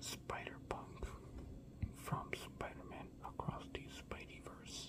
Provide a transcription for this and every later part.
Spider Punk from Spider Man across the Spideyverse.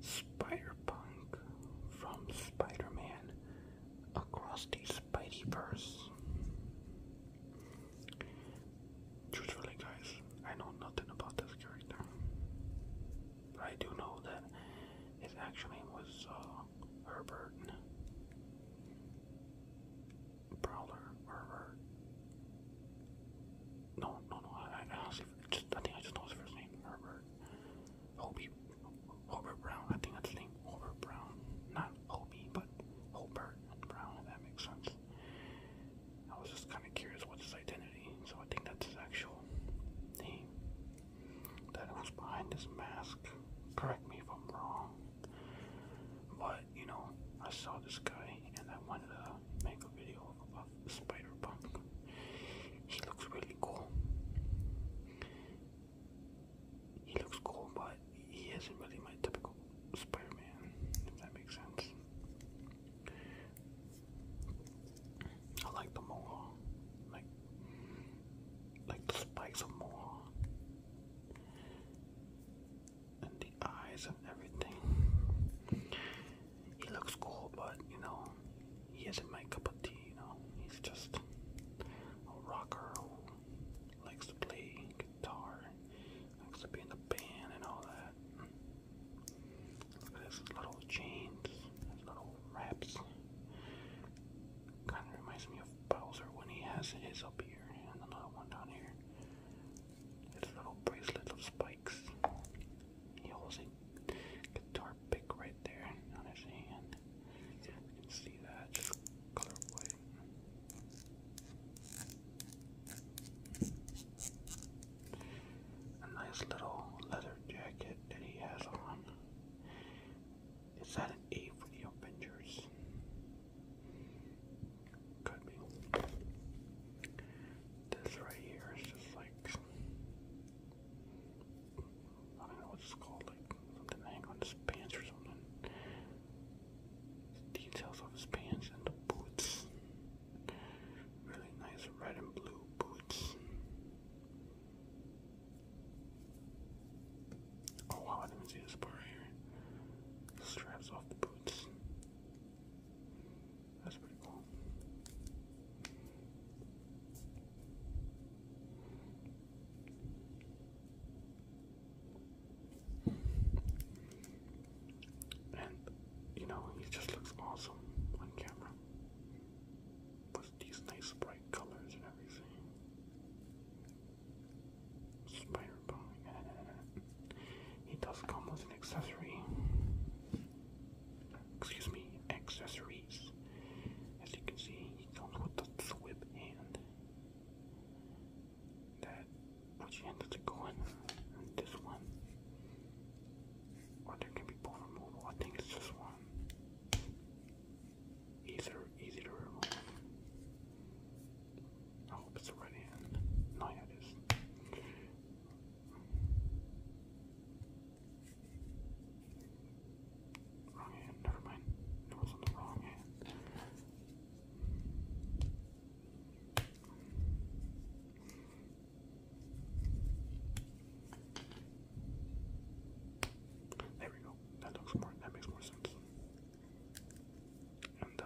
Spider Punk from Spider Man across the Spideyverse. Truthfully, guys, I know nothing about this character. But I do know that his actual name was uh, Herbert Prowler. Herbert. No, no, no just, I think I just know his first name, Herbert. Hobie, Hobert Brown, I think that's his name, Hobert Brown. Not Hobie, but Hobert Brown, that makes sense. I was just kind of curious what his identity, so I think that's his actual name. That who's behind this mask, correct me if I'm wrong, but you know, I saw this guy and I wanted to make a video about Spider Punk. He looks really cool. He looks cool, but he isn't really my typical Spider Man, if that makes sense. I like the mohawk, like, like the spikes of mohawk, and the eyes and everything. He looks cool, but you know, he isn't my cup of tea. You know, he's just a rocker who likes to play guitar, likes to be in the band and all that. Look at his little chains, his little wraps. Kind of reminds me of Bowser when he has his up here and the little one down here. His little bracelet of spikes. He holds a guitar pick right there on his hand. You can see that, just color white. A nice little leather jacket that he has on. Is that an A for the Avengers? Could be. This right here is just like I don't know what it's called, like something hanging on his pants or something. Details of his pants and the boots. Really nice red and blue boots. Oh wow, I didn't even see this part here. straps off the boots. That's pretty cool. And you know, he just looks awesome on camera. With these nice bright colors and everything. Spider bone. he does come with an accessory excuse me, accessories. As you can see, he comes with the flip hand. That which hand does it go in? And this one. Or there can be both removal. I think it's just one. Easier, easier to remove. I hope it's the right hand. No, it is. Wrong hand, never mind. It was on the wrong hand. There we go. That looks more that makes more sense. And uh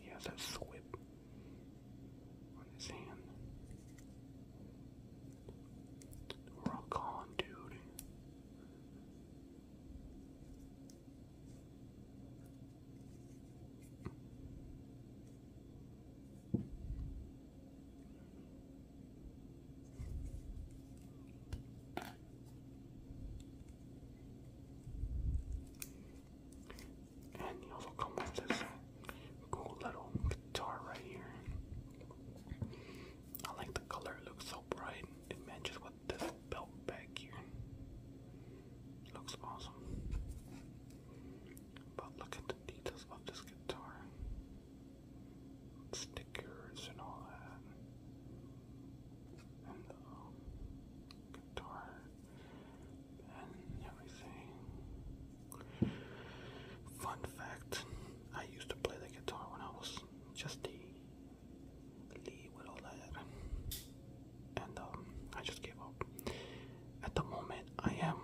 he has that on his hand. Rock on, dude. And you also come with this cool little guitar right here. I like the color, it looks so bright. It with this belt back here. looks awesome. But look at the details of this guitar. Stickers and all that. And the guitar Fun fact, I used to play the guitar when I was just a lead with And um, I just gave up. At the moment, I am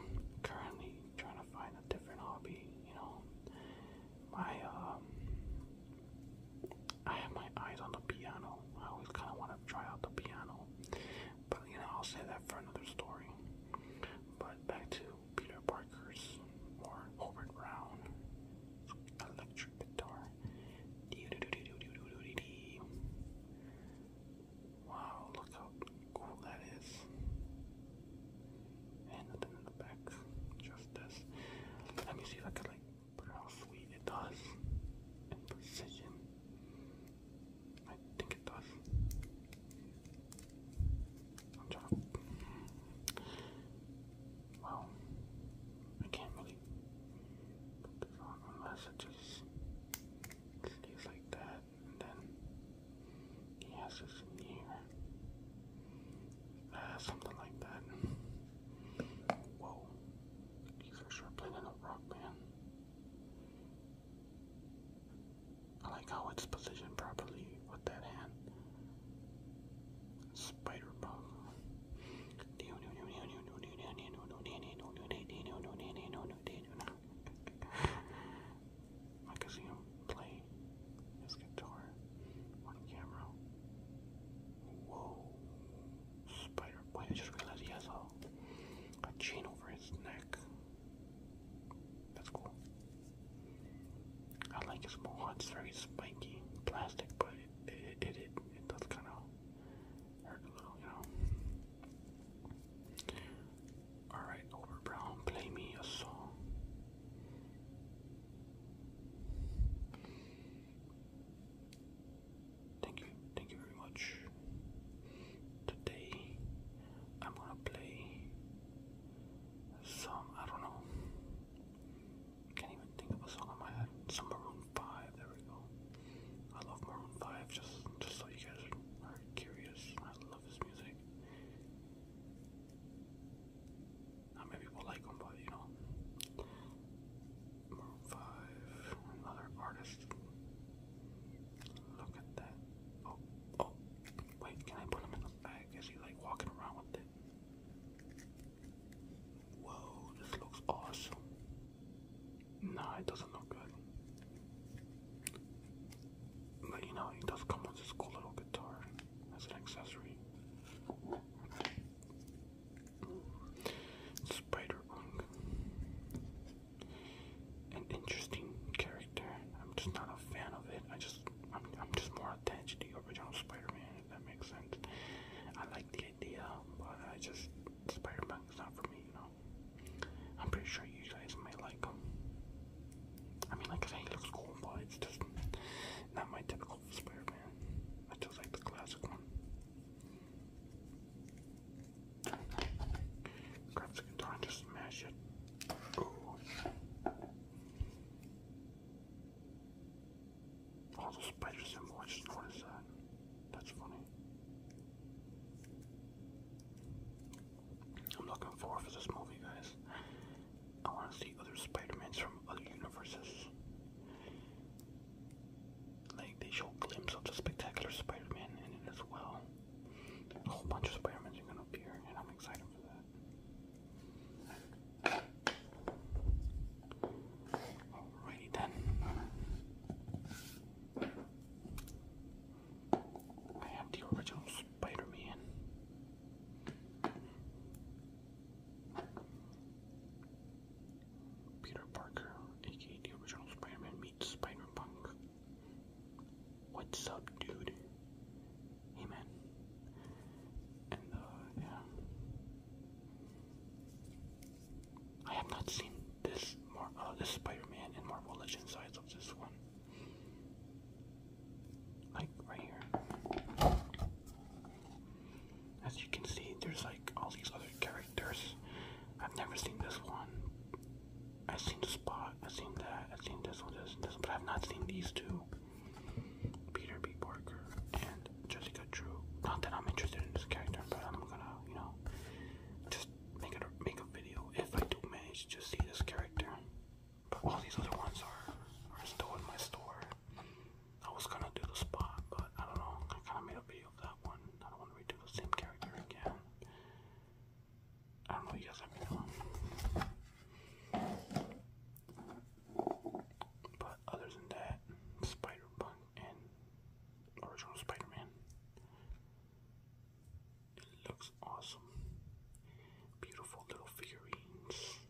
currently trying to find a different hobby, you know. My, um, I have my eyes on the piano. I always kind of want to try out the piano. But you know, I'll say that for another story. But back to Peter Parker's or Holbert Brown electric guitar. Wow, look how cool that is. And nothing in the back, just this. Let me see if I can like put how sweet it does. And precision. I think it does. i I can't really put this on unless it just stays like that, and then he has this in here. Ah, something like that. Whoa. These are sure playing a rock band. I like how it's positioned properly with that hand. Spider bug. I can see him play his guitar on camera. Whoa. Spider boy, I just realized he has a a chain over his neck. That's cool. I like his mohawk. It's very spiky, plastic, but it it it, it, it does kind of hurt a little, you know. All right, over Brown, play me a song. Thank you, thank you very much. Today I'm gonna play some, I don't know, can't even think of a song on my head. Some Maroon 5, there we go. I love Maroon 5, just, just so you guys are curious. I love his music. Not many people like him, but you know five other artists. Look at that. Oh, oh, wait, can I put him in the bag? Is he like walking around with it? Whoa, this looks awesome. Nah, it doesn't look good. But you know, it does come with this cool little guitar as an accessory. Spider Ung an interesting character. I'm just not a fan of it. I just I'm I'm just more attached to the original Spider-Man, if that makes sense. I like the idea, but I just Spider-Man is not for me, you know. I'm pretty sure you guys may like him. I mean, like I say, he looks cool, but it's just not my typical Spider-Man. I just like the classic one. Grab the guitar and smash it. All the spider symbol, I just that. That's funny. I'm looking forward for this movie, guys. I want to see other Spider-Mans from other universes like they show a glimpse of the spectacular Spider-Man in it as well. A whole bunch of Spider-Mans are gonna appear, and I'm excited for that. Alrighty then. I have the original Spider-Man. Peter Parker, aka the original Spider-Man meets Spider-Punk. What's up, dude? Hey, man. And, uh, yeah. I have not seen this Mar uh, this Spider-Man in Marvel Legends sides of this one. Like right here. As you can see, there's like all these other characters characters. I've never seen this one. I've seen the spot. I've seen that. I've seen this one, this, this but I've not seen these two. Peter B. Parker and Jessica Drew. Not that I'm interested in this character, but I'm gonna, you know, just make it a, make a video if I do manage to see this character. But all these other ones are are still in my store. I was gonna do the spot, but I don't know. I kind of made a video one. I don't want to redo the same character again. I don't know, you guys let me But other than that, Spider Punk and original Spider Man. It looks awesome. Beautiful little figurines.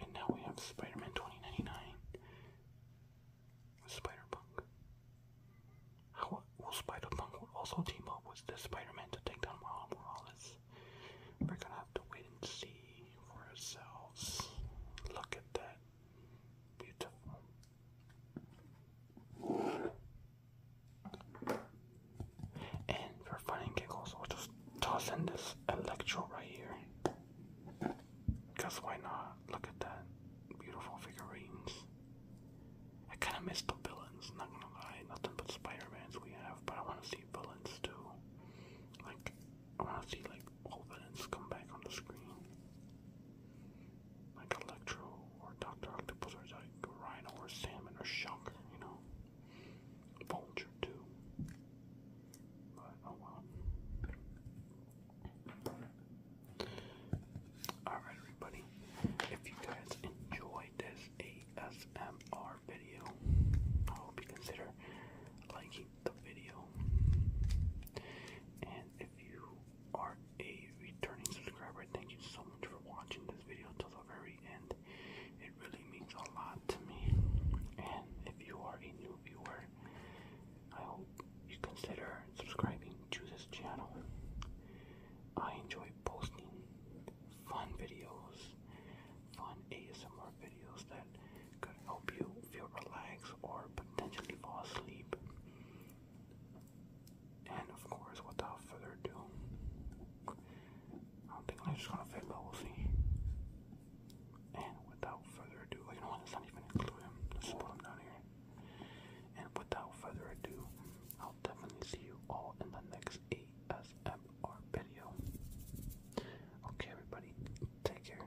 And now we have Spider Man 2099. Spider Punk. How will Spider Punk also team up with the Spider Man to take down Miles Morales? We're gonna have to wait and see for ourselves. Look at that. Beautiful. And for fun giggles, we'll just toss in this Electro right here. Because why not? Look at that. Beautiful figurines. I kind of miss the villains, not gonna lie. Nothing but Spider-Mans we have, but I want to see villains too. Like, I want to see, like, all villains come back on the screen like Electro or Doctor Octopus or like Rhino or Salmon or Shocker, you know. Vulture too. But oh well. Alright everybody. If you guys enjoyed this ASMR video, I hope you consider liking the video. And if you are a returning subscriber, thank you so much for watching this video till the very end. It really means a lot to me. And if you are a new viewer, I hope you consider subscribing to this channel. I enjoy posting fun videos, fun ASMR videos that could help you feel relaxed or potentially fall asleep. And of course, without further ado, I don't think I'm just gonna fit, but we'll see. And without further ado, you know what? Let's even include him. Let's put him down here. And without further ado, I'll definitely see you all in the next ASMR video. Okay, everybody, take care.